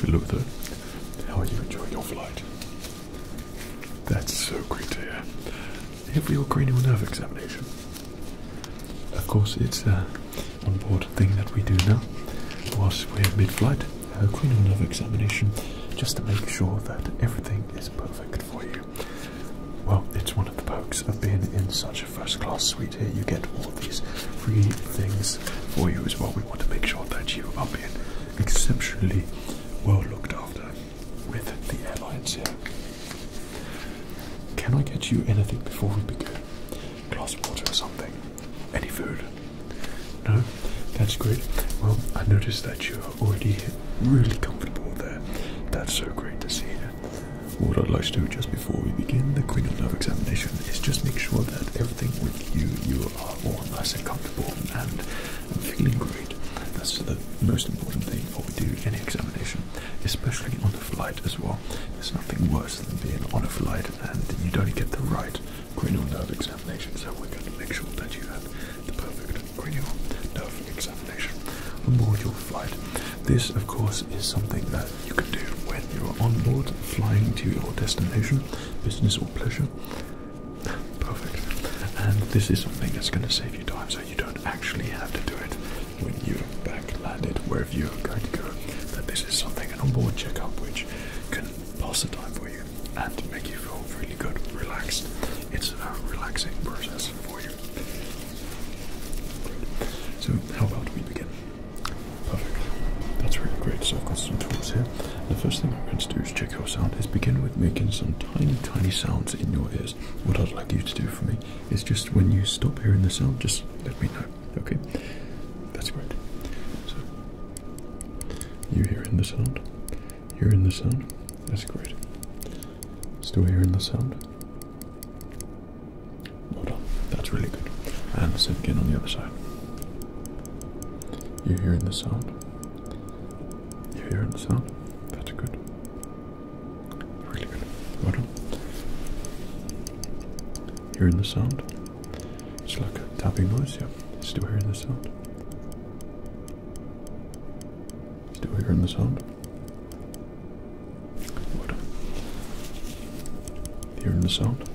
Hello How are you enjoying your flight? That's so great to hear. we all greened, your cranial nerve examination. Of course, it's an uh, onboard thing that we do now whilst we're mid-flight. A cranial nerve examination just to make sure that everything is perfect for you. Well, it's one of the perks of being in such a first-class suite here. You get all these free things for you as well. We want to make sure that you are being exceptionally well looked after with the airlines here. Can I get you anything before we begin? Glass of water or something? Any food? No? That's great. Well, I noticed that you're already really comfortable there. That's so great to see. What I'd like to do just before we begin the cranial nerve examination is just make sure that everything with you, you are all nice and comfortable and feeling great. That's the most important thing before we do any examination especially on a flight as well. There's nothing worse than being on a flight and you don't get the right cranial nerve examination. So we're going to make sure that you have the perfect cranial nerve examination on board your flight. This, of course, is something that you can do when you're on board flying to your destination, business or pleasure. Perfect. And this is something that's going to save you time you don't actually have to do it when you're back landed wherever you're going to go. That this is something an onboard checkup which can pass the time for you and make you feel really good, relaxed. It's a relaxing process for you. So how about we begin? Perfect. That's really great. So I've got some tools here. The first thing I'm going to do is check your sound. Is begin with making some tiny, tiny sounds in your ears. What I'd like you to do for me it's just when you stop hearing the sound, just let me know. Okay, that's great. So you hearing the sound? You Hearing the sound? That's great. Still hearing the sound? Well done. That's really good. And the same again on the other side. You hearing the sound? You hearing the sound? That's good. Really good. Well done. Hearing the sound. It's like a tapping noise, yeah. Still hearing the sound. Still hearing the sound. Well done. Hearing the sound.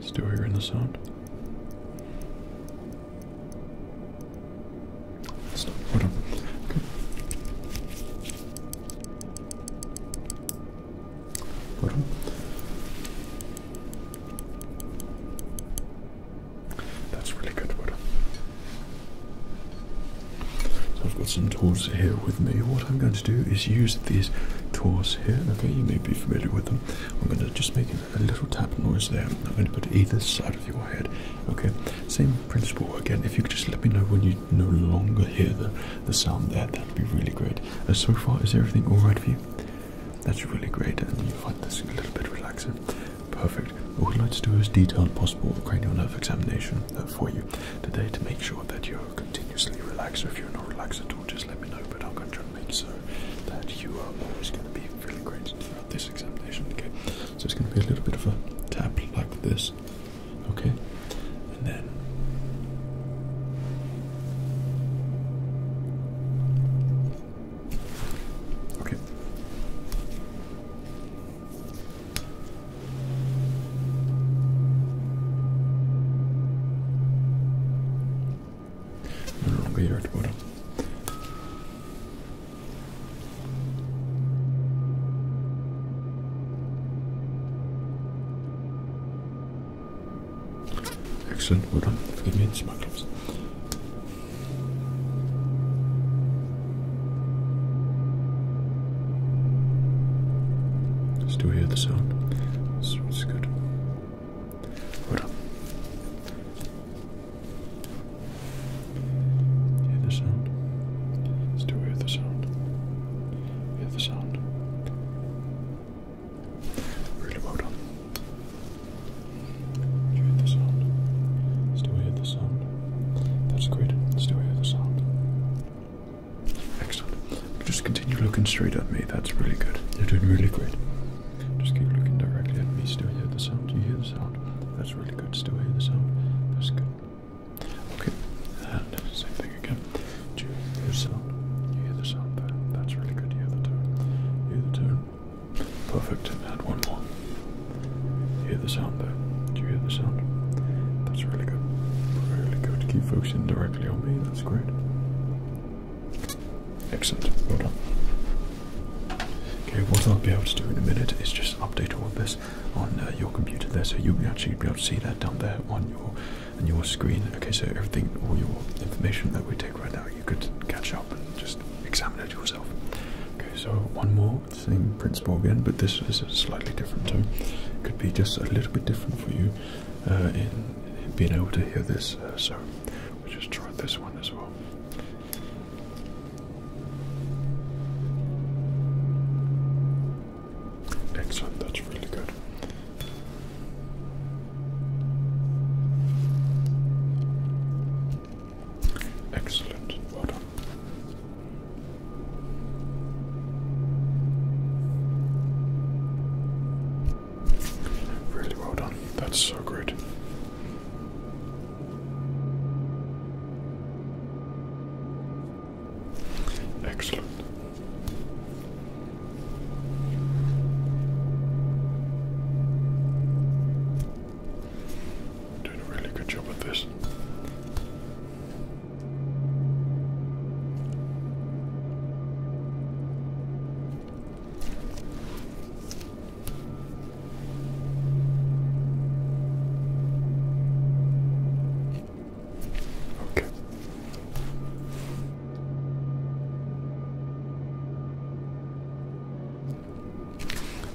Still hearing the sound. Stop. Hold on. Hold on. That's really good. Hold on. So I've got some tools here with me. What I'm going to do is use these tools here. Okay, you may be familiar with them. I'm going to just make an a little tap noise there. I'm going to put either side of your head. Okay, same principle again. If you could just let me know when you no longer hear the, the sound there, that'd be really great. Uh, so far, is everything alright for you? That's really great, and you find this a little bit relaxing. Perfect. What we'd like to do as detailed possible cranial nerve examination uh, for you today to make sure that you're continuously relaxed. If you're not relaxed at all, just let me know. But I'm going to try make so that you are always going to be fairly great throughout this examination. Okay, so it's going to be a little bit of a tap like this. Okay, and then. Okay. No longer at the bottom. Excellent, well done. Forgive me, it's my gloves. Still hear the sound. It's, it's good. Well done. Hear the sound? Still hear the sound. Hear the sound. Really well done. Do you hear the sound? Still hear the sound. That's great. Still hear the sound. Excellent. Just continue looking straight at me. That's really good. You're doing really great. Just keep looking directly at me. Still hear the sound. Do you hear the sound? That's really good. Still hear the sound. That's good. Okay, and same thing again. Do you hear the sound? You hear the sound there. That's really good. You hear the tone. hear the tone. Perfect. And one more. hear the sound there. Do you hear the sound? That's really good. Really good. Keep focusing directly on me. That's great. Excellent. Okay, what I'll be able to do in a minute is just update all of this on uh, your computer there, so you'll actually be able to see that down there on your on your screen. Okay, so everything, all your information that we take right now, you could catch up and just examine it yourself. Okay, so one more same principle again, but this is slightly different. So it could be just a little bit different for you uh, in, being able to hear this. Uh, so we'll just try this one as well. Excellent, that's really good. Excellent, well done. Really well done, that's so great. Excellent. Doing a really good job with this. Okay.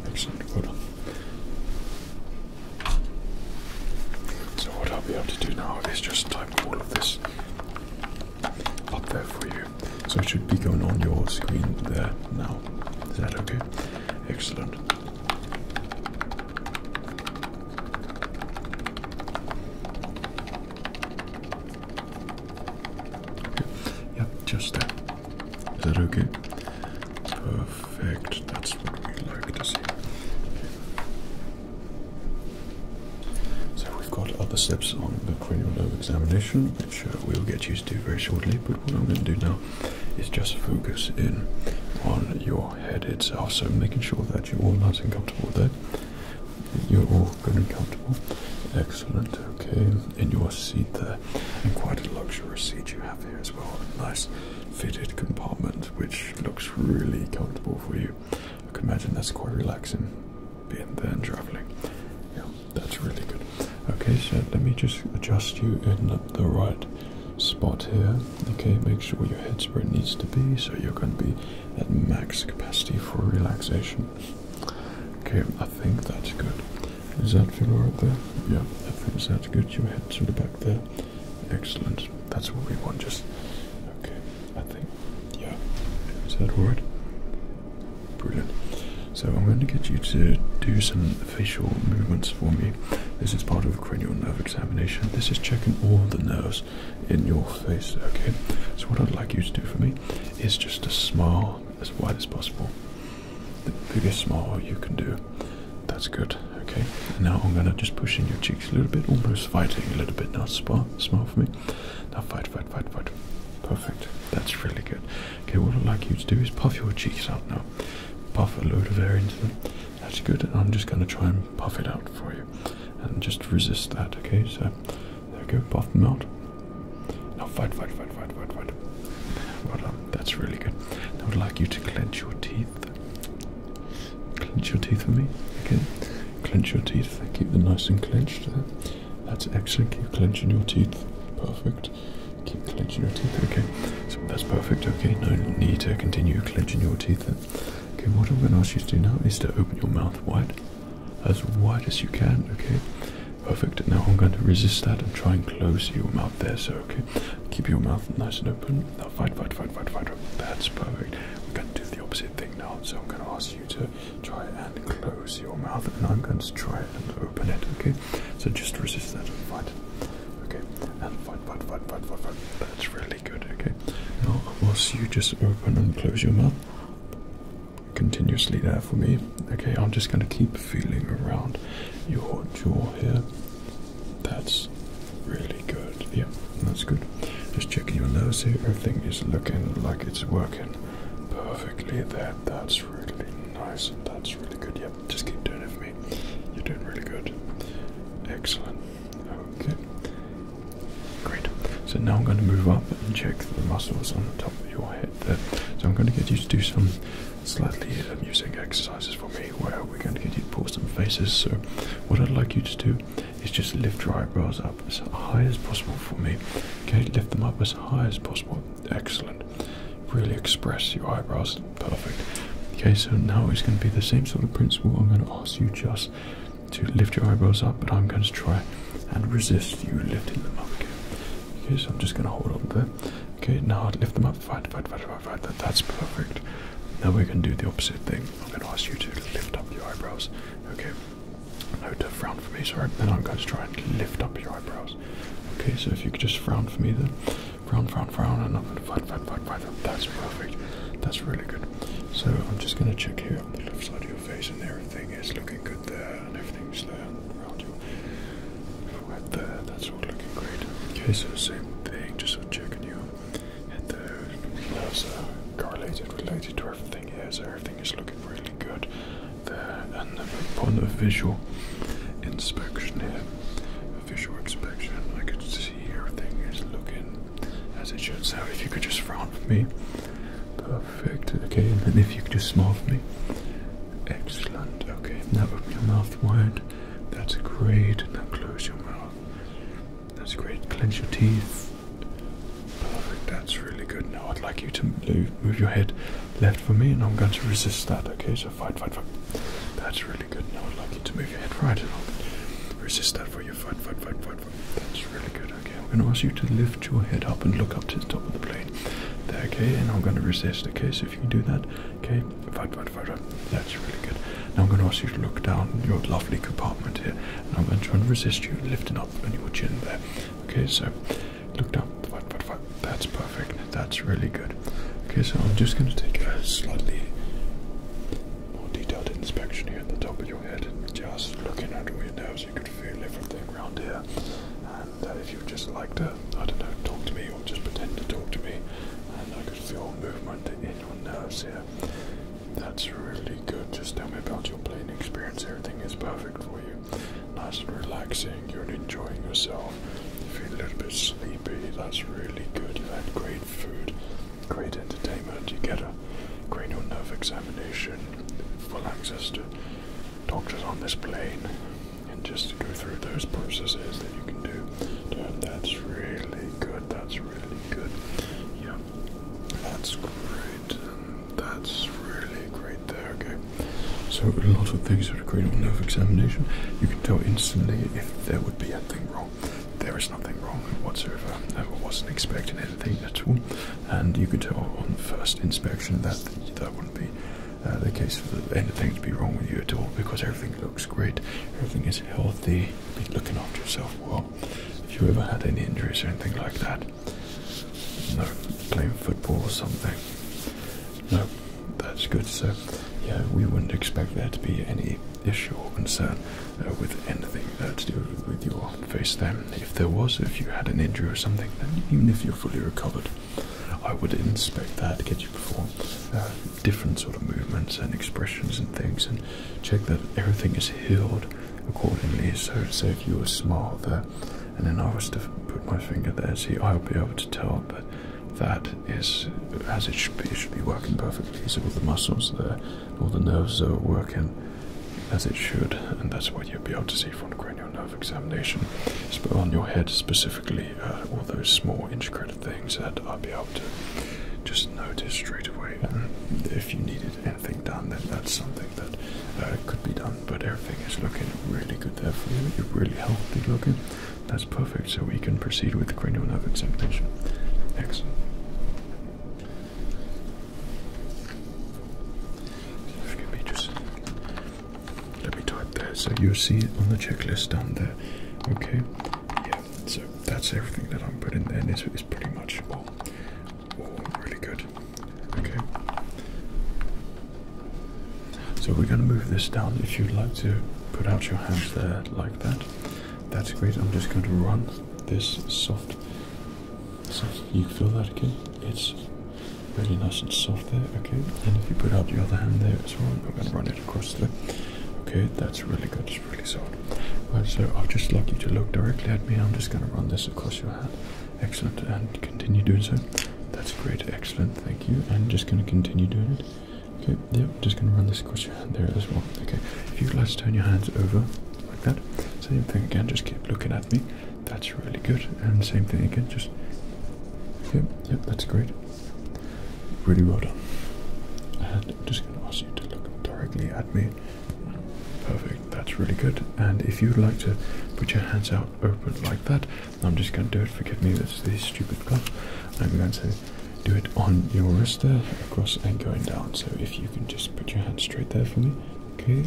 Excellent. So what I'll be able to do now is just type all of this up there for you. So it should be going on your screen there now. Is that okay? Excellent. Yep, just there. Is that okay? Perfect. That's what we like to see. So we've got other steps on the cranial nerve examination. Which we'll get used to very shortly, but what I'm going to do now is just focus in on your head itself. So making sure that you're all nice and comfortable with there. You're all good and comfortable. Excellent. Okay. In your seat there. And quite a luxurious seat you have here as well. A nice fitted compartment which looks really comfortable for you. I can imagine that's quite relaxing being there and traveling. Yeah, that's really good. Okay, so let me just adjust you in the right spot here. Okay, make sure your head's where it needs to be, so you're going to be at max capacity for relaxation. Okay, I think that's good. Is that feel right there? Yeah, I think that's good. Your head sort the back there. Excellent. That's what we want. Just okay. I think. Yeah. Is that right? Brilliant. So I'm going to get you to do some facial movements for me. This is part of a cranial nerve examination. This is checking all the nerves in your face, okay? So what I'd like you to do for me is just a smile as wide as possible. The biggest smile you can do. That's good, okay? Now I'm going to just push in your cheeks a little bit, almost fighting a little bit now. Smile, smile for me. Now fight, fight, fight, fight. Perfect. That's really good. Okay, what I'd like you to do is puff your cheeks out now. Puff a load of air into them. That's good. And I'm just going to try and puff it out for you. And just resist that, okay? So, there we go. Puff them out. Now fight, fight, fight, fight, fight, fight. Well done. That's really good. Now I'd like you to clench your teeth. Clench your teeth for me, okay? Clench your teeth. Keep them nice and clenched there. That's excellent. Keep clenching your teeth. Perfect. Keep clenching your teeth. Okay. So that's perfect. Okay. No need to continue clenching your teeth Okay. What I'm going to ask you to do now is to open your mouth wide. As wide as you can. Okay. Perfect. Now I'm going to resist that and try and close your mouth there. So, okay. Keep your mouth nice and open. Now, fight, fight, fight, fight, fight. That's perfect. We're going to do the opposite thing now. So I'm going to ask you to try and close your mouth, and I'm going to try and open it. Okay, so just resist that and it. Okay, and fight, fight, fight, fight, fight, That's really good. Okay, now whilst you just open and close your mouth continuously there for me. Okay, I'm just going to keep feeling around your jaw here. That's really good. Yeah, that's good. Just checking your nose. here. Everything is looking like it's working perfectly there. That's really nice. That's really good. Yep, just keep doing it for me. You're doing really good. Excellent. Okay. Great. So now I'm going to move up and check the muscles on the top of your head there. So I'm going to get you to do some slightly amusing um, exercises for me where we're going to get you to pull some faces. So what I'd like you to do is just lift your eyebrows up as high as possible for me. Okay, lift them up as high as possible. Excellent. Really express your eyebrows. Perfect. Okay, so now it's going to be the same sort of principle. I'm going to ask you just to lift your eyebrows up, but I'm going to try and resist you lifting them up. Okay, so I'm just going to hold on there. Okay, now I'd lift them up. Fight, fight, fight, fight, fight. that's perfect. Now we are going to do the opposite thing. I'm going to ask you to lift up your eyebrows. Okay, no to frown for me, sorry. Then I'm going to try and lift up your eyebrows. Okay, so if you could just frown for me then. Frown, frown, frown, and I'm going to fight, fight, fight, fight. That's perfect. That's really good. So I'm just going to check here on the left side of your face, and everything is looking good there, and everything's there and around you. Right there, that's all looking great. Okay, so same thing, just checking you. And there, that's are uh, correlated, related to everything here, so everything is looking really good there. And upon a visual inspection here, a visual inspection, I could see everything is looking as it should. So if you could just frown for me, perfect. Okay, and then if you could just smile for me, excellent. Okay, now open your mouth wide. That's great. Now close your mouth. That's great. Clench your teeth. Perfect, that's really good. Now I'd like you to move, your head left for me, and I'm going to resist that, okay? So fight, fight, fight. That's really good. Now I'd like you to move your head right, and i resist that for you. Fight, fight, fight, fight, fight. That's really good, okay? I'm going to ask you to lift your head up and look up to the top of the plane. There, okay? And I'm going to resist, okay? So if you can do that, okay? Fight, fight, fight, fight. That's really good. Now I'm going to ask you to look down your lovely compartment here, and I'm going to try and resist you lifting up on your chin there. Okay, so look down. That's perfect. That's really good. Okay, so I'm just going to take a slightly more detailed inspection here at the top of your head, just looking under your nose. You could feel everything around here. And uh, if you just like to, I don't know, talk to me or just pretend to talk to me, and I could feel movement in your nerves here. That's really good. Just tell me about your plane experience. Everything is perfect for you. Nice and relaxing. You're enjoying yourself. You feel a little bit sleepy. That's really good. you had great food, great entertainment. You get a cranial nerve examination, full access to doctors on this plane, and just to go through those processes that you can do. That's really good. That's really good. Yeah, that's great. That's really great there, okay? So a lot of things that are great on nerve examination, you can tell instantly if there would be anything wrong. There is nothing wrong whatsoever. I wasn't expecting anything at all. And you could tell on the first inspection that that wouldn't be uh, the case for anything to be wrong with you at all because everything looks great, everything is healthy, be looking after yourself well. If you ever had any injuries or anything like that, no, playing football or something. No, that's good. So, yeah, we wouldn't expect there to be any issue or concern uh, with anything uh, to do with your face Then, If there was, if you had an injury or something, even if you're fully recovered, I would inspect that, get you perform uh, different sort of movements and expressions and things, and check that everything is healed accordingly. So, so if you were smile there, and then I was to put my finger there, see, I'll be able to tell that that is as it should be. should be working perfectly. So all the muscles there, all the nerves are working as it should, and that's what you'll be able to see from the cranial nerve examination. But on your head specifically, uh, all those small intricate things that I'll be able to just notice straight away. if you needed anything done, then that's something that uh, could be done, but everything is looking really good there for you. You're really healthy looking. That's perfect. So we can proceed with cranial nerve examination. Excellent. Excuse me, just let me type there. So you see on the checklist down there. Okay. Yeah. So that's everything that I'm putting there. This is pretty much all really good. Okay. So we're going to move this down. If you'd like to put out your hands there like that, that's great. I'm just going to run this soft. You feel that again? It's really nice and soft there. Okay. And if you put out the other hand there as well, I'm going to run it across there. Okay, that's really good. It's really soft so I'd just like you to look directly at me. I'm just going to run this across your hand. Excellent, and continue doing so. That's great, excellent, thank you. And just going to continue doing it. Okay, yep, just going to run this across your hand there as well. Okay, if you'd like to turn your hands over like that, same thing again, just keep looking at me. That's really good. And same thing again, just. Yep, yep, that's great. Really well done. And I'm just going to ask you to look directly at me. Perfect, that's really good. And if you'd like to put your hands out open like that, I'm just going to do it. Forgive me, that's the stupid glove. I'm going to do it on your wrist there, across and going down. So if you can just put your hand straight there for me. Okay.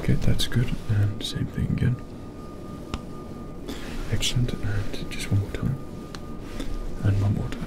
Okay, that's good. And same thing again. Excellent. And just one more time. And one more time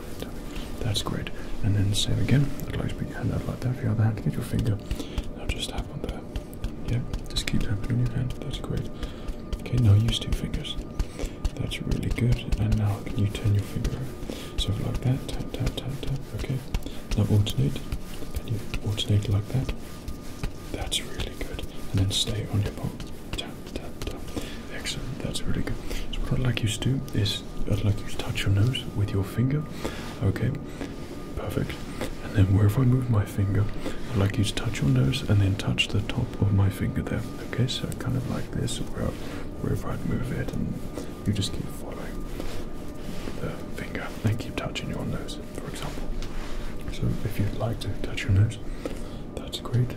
That's great. And then same again. I'd like to put your hand out like that for your other hand. Get your finger. Now just tap on there. Yeah, just keep tapping on your hand. That's great. Okay, now use two fingers. That's really good. And now can you turn your finger over? So like that. Tap, tap, tap, tap. Okay. Now alternate. Can you alternate like that? That's really good. And then stay on your palm. Tap, tap, tap. Excellent. That's really good. So what I'd like you to do is I'd like you to touch your nose with your finger. Okay, perfect. And then wherever I move my finger, I'd like you to touch your nose and then touch the top of my finger there. Okay, so kind of like this, where, wherever I'd move it, and you just keep following the finger and keep touching your nose, for example. So if you'd like to touch your nose, that's great.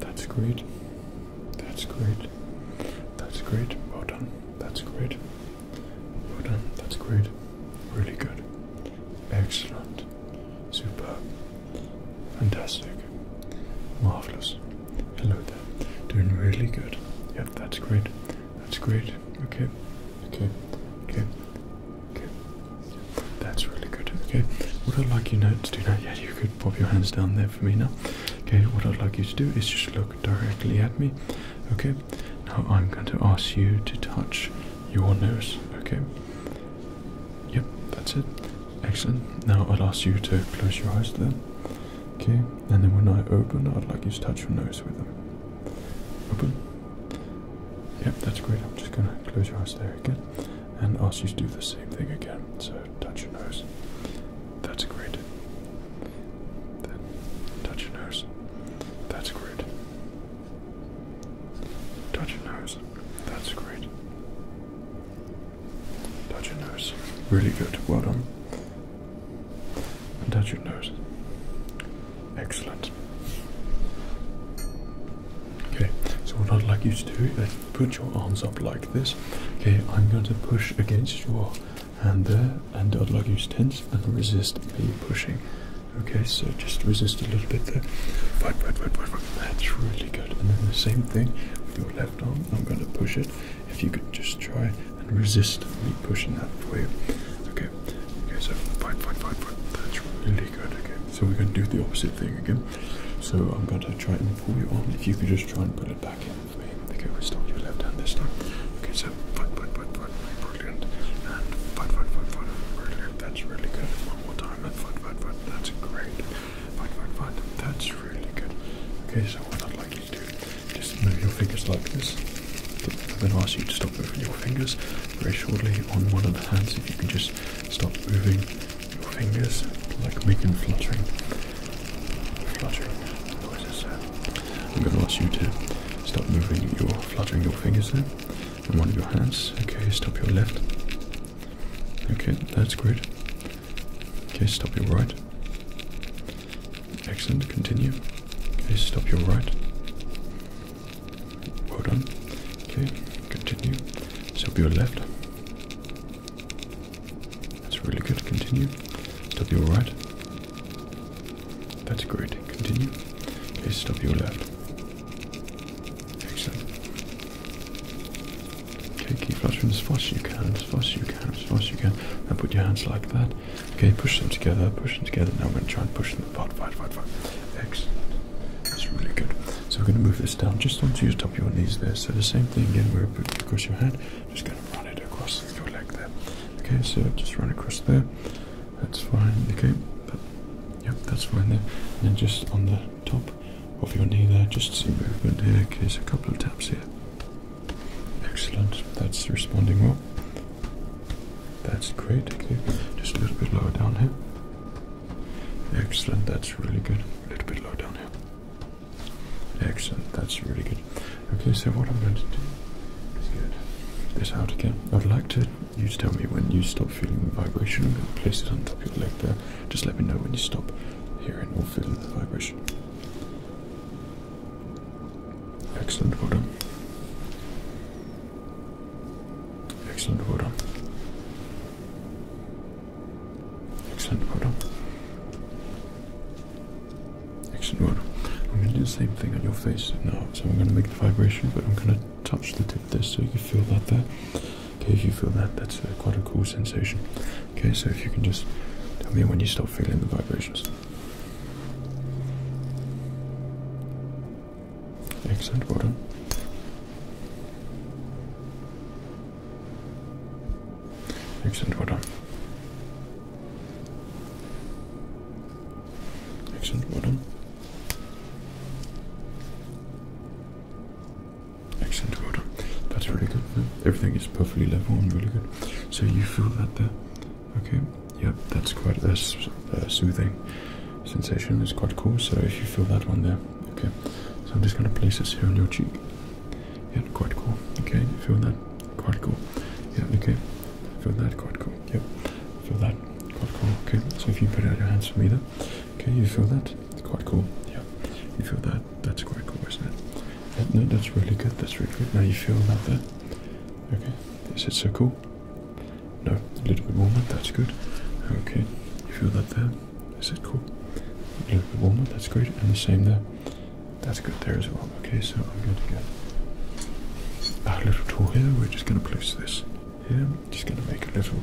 That's great. That's great. That's great. Well done. That's great. Well done. That's great. Really good. Excellent. Super. Fantastic. Marvelous. Hello there. Doing really good. Yeah. that's great. That's great. Okay. Okay. Okay. Okay. That's really good. Okay. Would i like you now to do now, yeah, you could pop your hands down there for me now. Okay, what I'd like you to do is just look directly at me. Okay, now I'm going to ask you to touch your nose. Okay, yep, that's it. Excellent. Now I'll ask you to close your eyes there. Okay, and then when I open, I'd like you to touch your nose with them. Open. Yep, that's great. I'm just gonna close your eyes there again and ask you to do the same thing again. So touch your nose. That's great. Then touch your nose. That's great. Touch your nose. That's great. Touch your nose. Really good. Well done. touch your nose. Excellent. Okay, so what I'd like you to do put your arms up like this. Okay, I'm going to push against your hand there, and I'd like you to tense and resist me pushing. Okay, so just resist a little bit there. Fight, fight, fight, fight, That's really good. And then the same thing with your left arm. I'm going to push it. If you could just try and resist me pushing that for you. Okay, okay, so fight, fight, fight, fight. That's really good. Okay, so we're going to do the opposite thing again. So I'm going to try and pull you on. If you could just try and put it back in. Okay, we start your left hand this time. Okay, so foot, brilliant. And foot, brilliant. That's really good. One more time. And foot, That's great. Foot, That's really good. Okay, so what I'd like you to do, is move your fingers like this. I'm going to ask you to stop moving your fingers very shortly on one of the hands. If you can just stop moving your fingers, like making fluttering. Fluttering noises, I'm going to ask you to stop moving your fluttering your fingers there, and one of your hands. Okay, stop your left. Okay, that's great. Okay, stop your right. Excellent. Continue. Okay, stop your right. Well done. Okay, continue. Stop your left. That's really good. Continue. Stop your right. That's great. Continue. Okay, stop your left. Excellent. Okay, keep fluttering as fast as you can, as fast as you can, as fast as you can. Now put your hands like that. Okay, push them together, push them together. Now we're going to try and push them apart. Fight, fight, fight. Excellent. That's really good. So we're going to move this down just onto your top of your knees there. So the same thing again, we're going to put across your hand. Just going to run it across your leg there. Okay, so just run across there. That's fine. Okay, but, yep, that's fine there. And just on the top of your knee there, just some movement here. Okay, so a couple of taps here. Excellent. That's responding well. That's great. Okay, just a little bit lower down here. Excellent. That's really good. A little bit lower down here. Excellent, that's really good. Okay, so what I'm going to do is get this out again. I'd like to you to tell me when you stop feeling the vibration. I'm going to place it on top of your leg there. Just let me know when you stop hearing or feeling the vibration. Excellent, well Excellent, well Excellent, well done. Excellent, well I'm going to do the same thing on your face now. So I'm going to make the vibration, but I'm going to touch the tip of this so you can feel that there. Okay, if you feel that, that's uh, quite a cool sensation. Okay, so if you can just tell me when you stop feeling the vibrations. Excellent, well Excellent, well done. Excellent, well Excellent, well That's really good. Everything is perfectly level and really good. So you feel that there? Okay. Yep, that's quite a soothing sensation. It's quite cool. So if you feel that one there, okay. So I'm just going to place this here on your cheek. Yeah, quite cool. Okay, you feel that? Quite cool. Yeah, okay. Feel that? Quite cool. Yep. Feel that? Quite cool. Okay, so if you put out your hands for me there. Okay, you feel that? quite cool. Yeah. You feel that? That's quite cool, isn't it? no, that's really good. That's really good. Now you feel that there. Okay. Is it so cool? No, a little bit warmer. That's good. Okay. You feel that there? I said cool. the Walmart, that's great. And the same there. That's good there as well. Okay, so I'm going to get a little tool here. We're just going to place this here. Just going to make a little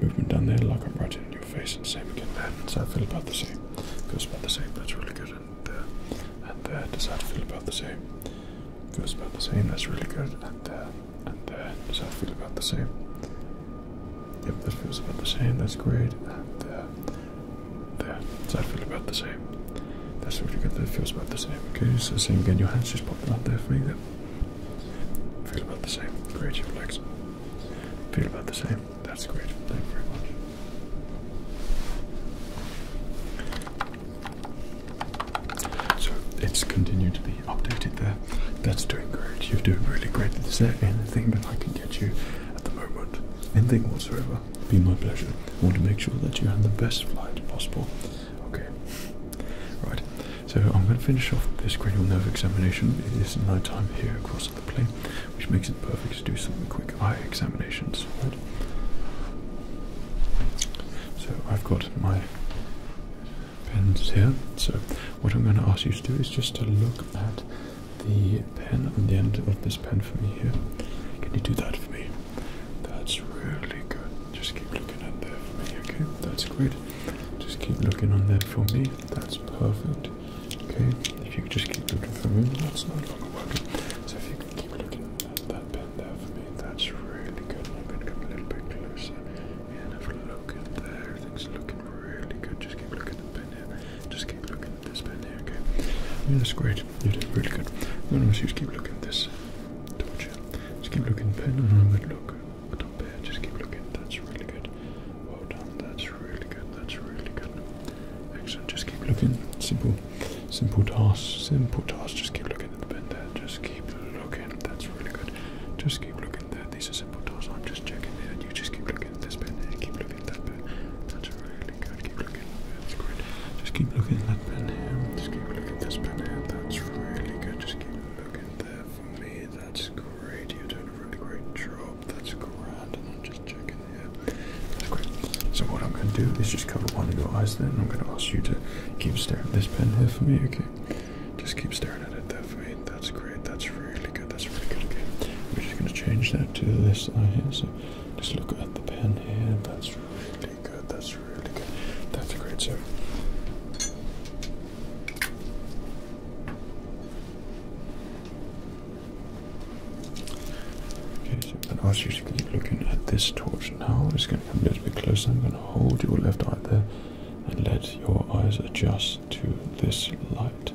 movement down there, like I'm right in your face. And same again there. Does that feel about the same? Feels about the same. That's really good. And there. Uh, and there. Does that feel about the same? Feels about the same. That's really good. And there. Uh, and there. Does that feel about the same? Yep, that feels about the same. That's great. And there. Uh, there. Does that feel about the same? That's really good. That feels about the same. Okay, so same again. Your hands just popping out there for me. There. Feel about the same. Great, your legs. Feel about the same. That's great. Thank you very much. So it's continued to be updated there. That's doing great. You're doing really great. Is there anything that I can can get you at the moment. Anything whatsoever. Be my pleasure. I want to make sure that you have the best flight possible. Okay. Right. So I'm going to finish off this cranial nerve examination. It is night time here across the plane, which makes it perfect to do some quick eye examinations. So I've got my pens here. So what I'm going to ask you to do is just to look at the pen on the end of this pen for me here. Can you do that for me? That's really good. Just keep looking at there for me, okay? That's great. Just keep looking on there for me. That's perfect. Okay? If you could just keep looking for me, that's no longer working. So if you can keep looking at that pen there for me, that's really good. I'm going to come a little bit closer and have a look. Everything's looking really good. Just keep looking at the pen here. Just keep looking at this pen here, okay? that's great. You did really good. No, no, so just keep looking at this torture. Just keep looking at the pen and I would look up here. Just keep looking. That's really good. Well done. That's really good. That's really good. Excellent. Just keep looking. Simple. Simple task. Simple task. Just keep looking at the pen there. Just keep looking. That's really good. Just keep looking. This is a are simple doors. I'm just checking here, you just keep looking at this pen here, keep looking at that bit. That's really good. Keep looking at that. That's great. Just keep looking at that pen here. Just keep looking at this pen here. That's really good. Just keep looking there for me. That's great. You're doing a really great job. That's great. So what I'm going to do is just cover one of your eyes Then I'm going to ask you to keep staring at this pen here for me. Okay. Just keep staring at it there for me. That's great. That's really good. That's really good. Okay, we're just going to change that to this eye here. So just look at the pen here. That's really good. That's really good. That's a great. So. Okay, so I'm going to ask you to keep looking at this torch now. I'm just going to come a little bit closer. I'm going to hold your left eye there and let your eyes adjust to this light.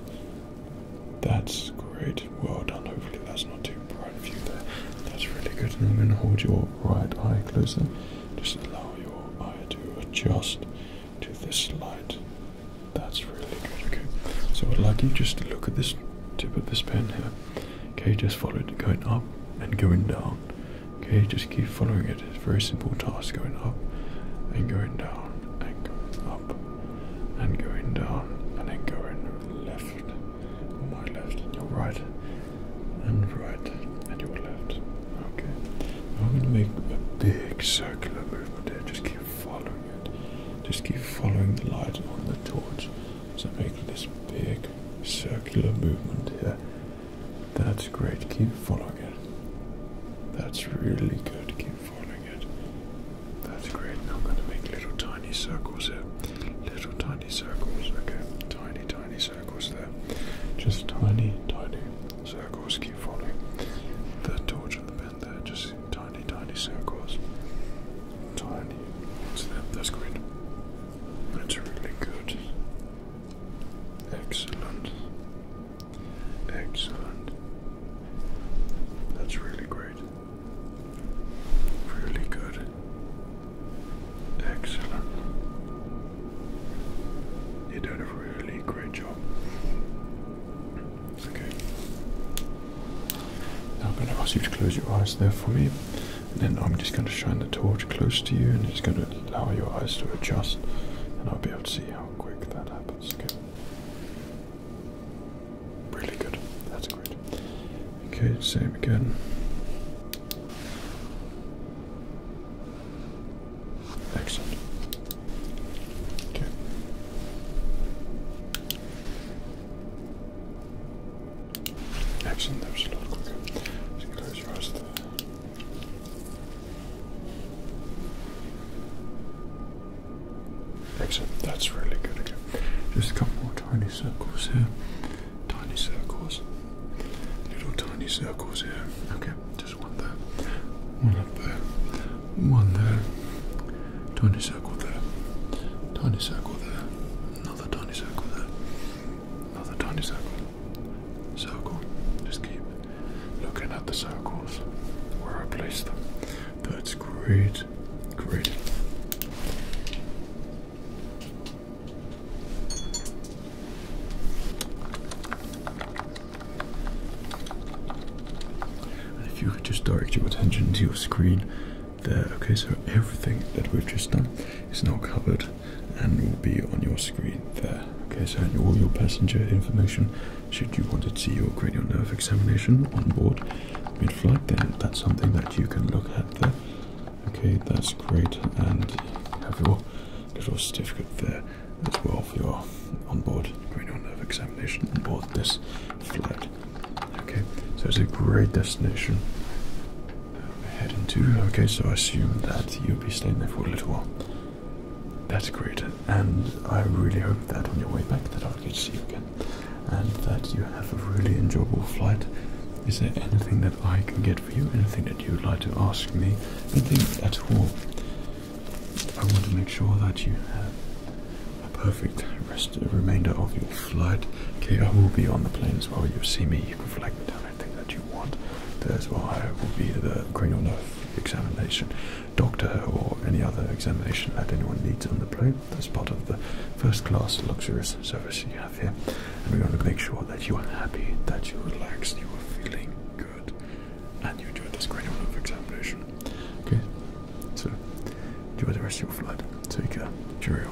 That's great. Well done. Hopefully that's not too bright of you there. That's really good. And I'm going to hold your right eye closer. Just allow your eye to adjust to this light. That's really good. Okay. So I'd like you just to look at this tip of this pen here. Okay, just follow it going up and going down. Okay, just keep following it. It's a very simple task going up and going down and up and going down and then going left. On my left and your right and right and your left. Okay. I'm gonna make a big circular movement there. Just keep following it. Just keep following the light on the torch. So make this big circular movement here. That's great. Keep following. That's really good. Keep following it. That's great. Now I'm going to make little tiny circles here. Little tiny circles. Okay. Tiny, tiny circles there. Just tiny, tiny circles. Keep following The torch and the pen there. Just tiny, tiny circles. Tiny. That's great. That's really good. Excellent. Excellent. That's really great. Really good. Excellent. You did a really great job. Okay. Now I'm going to ask you to close your eyes there for me. And then I'm just going to shine the torch close to you and it's going to allow your eyes to adjust and I'll be able to see how quick that happens. Okay. Really good. That's great. Okay, same again. Excellent. Okay. Excellent, that was a lot quicker. close your eyes Excellent, that's really good again. Just a couple more tiny circles here. Tiny circles. Little tiny circles here. Okay, just one there. One up there. One there. Tiny circle there. Tiny circle there. Another tiny circle there. Another tiny circle circle. Just keep looking at the circles where I place them. That's great, great. And if you could just direct your attention to your screen there, okay, so everything that we've just done is now covered and will be on your screen there. Okay, so all your passenger information, should you want to see your cranial nerve examination on board mid-flight, then that's something that you can look at there. Okay, that's great, and have your little certificate there as well for your on-board cranial nerve examination on board this flight. Okay, so it's a great destination. We're heading to. Okay, so I assume that you'll be staying there for a little while. That's great, and I really hope that on your way back that I'll get to see you again, and that you have a really enjoyable flight. Is there anything that I can get for you? Anything that you'd like to ask me? Anything at all? I want to make sure that you have a perfect rest, remainder of your flight. Okay, I will be on the plane as well. You see me, you can flag me down anything that you want, there's why I will be the cranial nerve examination, doctor or any other examination that anyone needs on the plane. That's part of the first class luxurious service you have here. And we want to make sure that you are happy, that you're relaxed, you are feeling good, and you enjoy this cranial nerve examination. Okay, so enjoy the rest of your flight. Take care. Cheerio.